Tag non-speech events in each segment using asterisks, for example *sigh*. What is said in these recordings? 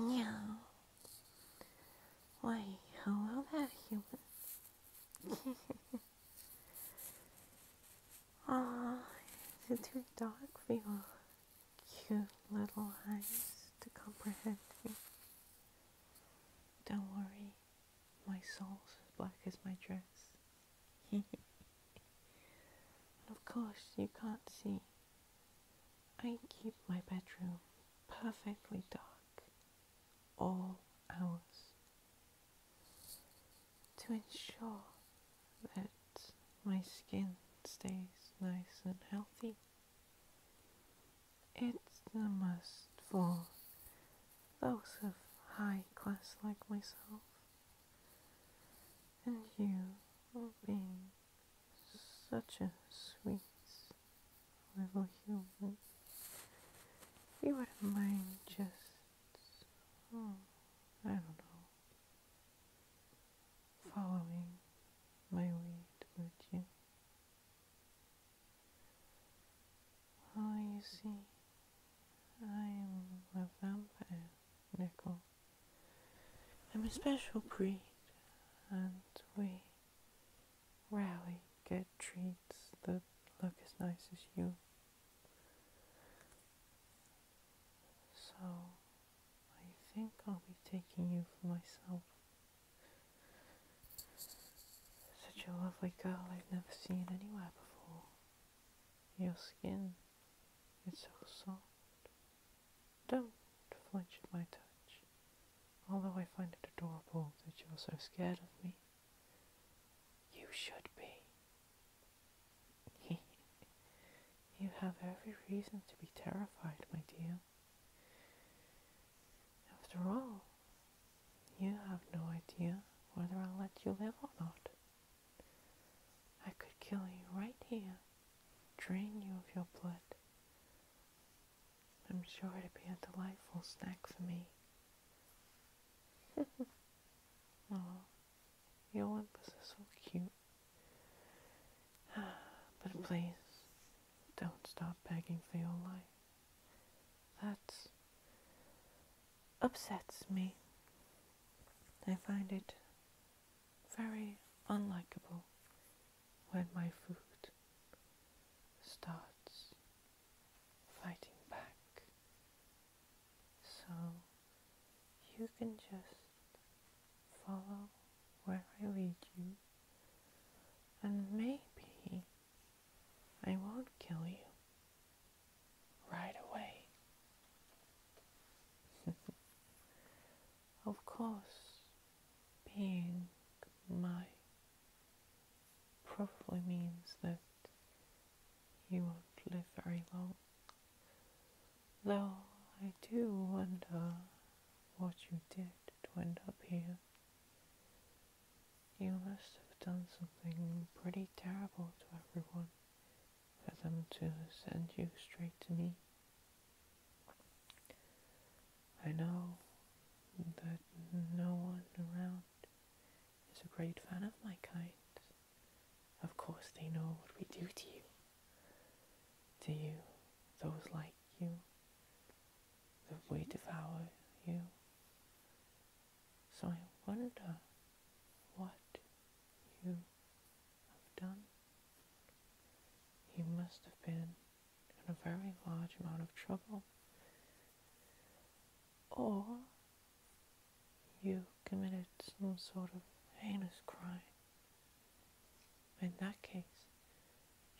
Meow. Why, hello there, human. Aw, *laughs* it's your dog feel? Cute little eyes to comprehend me. Don't worry, my soul's as black as my dress. *laughs* of course, you can't see. I keep my bedroom perfectly dark all hours to ensure that my skin stays nice and healthy. It's a must for those of high class like myself and you will be such a sweet little human. You wouldn't mind just, hmm, I don't know, following my lead, would you? Oh, you see, I am a vampire, Nickel. I'm a special breed, and we rarely get treats that look as nice as you. So, I think I'll be taking you for myself. Such a lovely girl I've never seen anywhere before. Your skin it's so soft. Don't flinch at my touch, although I find it adorable that you're so scared of me. You should be. *laughs* you have every reason to be terrified, my dear. After all, you have no idea whether I'll let you live or not. I could kill you right here, drain you of your blood. I'm sure it'd be a delightful snack for me. oh, *laughs* your whimpers are so cute. *sighs* but please, don't stop begging for your life. That's upsets me. I find it very unlikable when my food starts fighting back. So you can just follow where I lead you and maybe I won't kill you right away. *laughs* of course, being my probably means that you won't live very long. Though I do wonder what you did to end up here. You must have done something pretty terrible to everyone for them to send you straight to me. I know that no one around is a great fan of my kind. Of course, they know what we do to you, to you, those like you, that we devour you. So I wonder what you have done. You must have been in a very large amount of trouble. Or you committed some sort of heinous crime. In that case,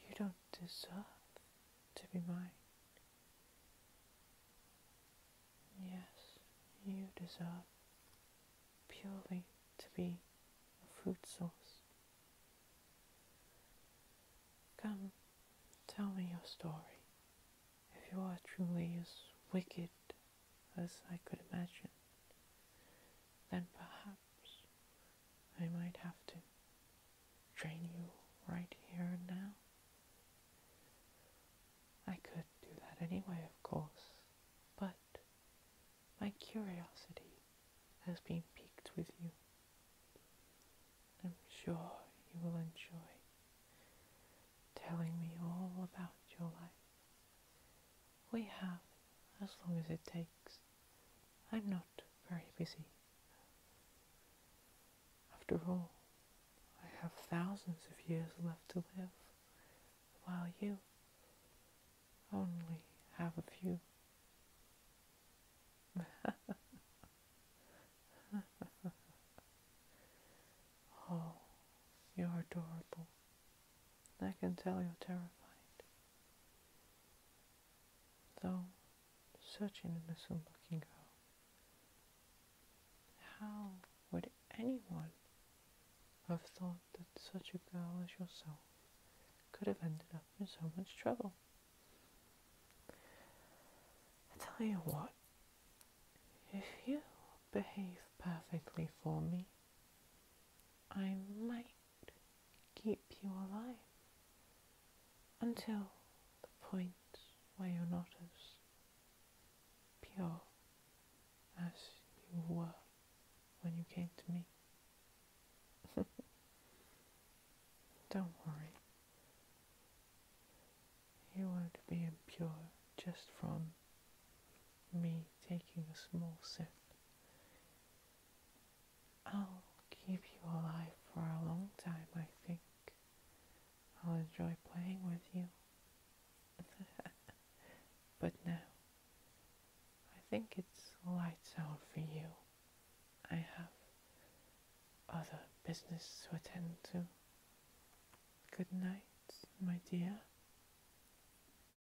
you don't deserve to be mine. Yes, you deserve purely to be a food source. Come, tell me your story. If you are truly as wicked as I could imagine, then perhaps I might have to train you right here and now. I could do that anyway, of course, but my curiosity has been piqued with you. I'm sure you will enjoy telling me all about your life. We have as long as it takes. I'm not very busy. After all, I have thousands of years left to live, while you only have a few. *laughs* oh, you're adorable. I can tell you're terrified. Though such an innocent looking girl, how would anyone have thought that such a girl as yourself could have ended up in so much trouble? I tell you what, if you behave perfectly for me, I might keep you alive until the point where you're not as pure as you were when you came to me. *laughs* Don't worry, you won't be impure just from me taking a small sip. I'll keep you alive for a long time, I think. I'll enjoy playing with you. *laughs* but now, I think it's lights out for you. I have other business to attend to. Good night, my dear.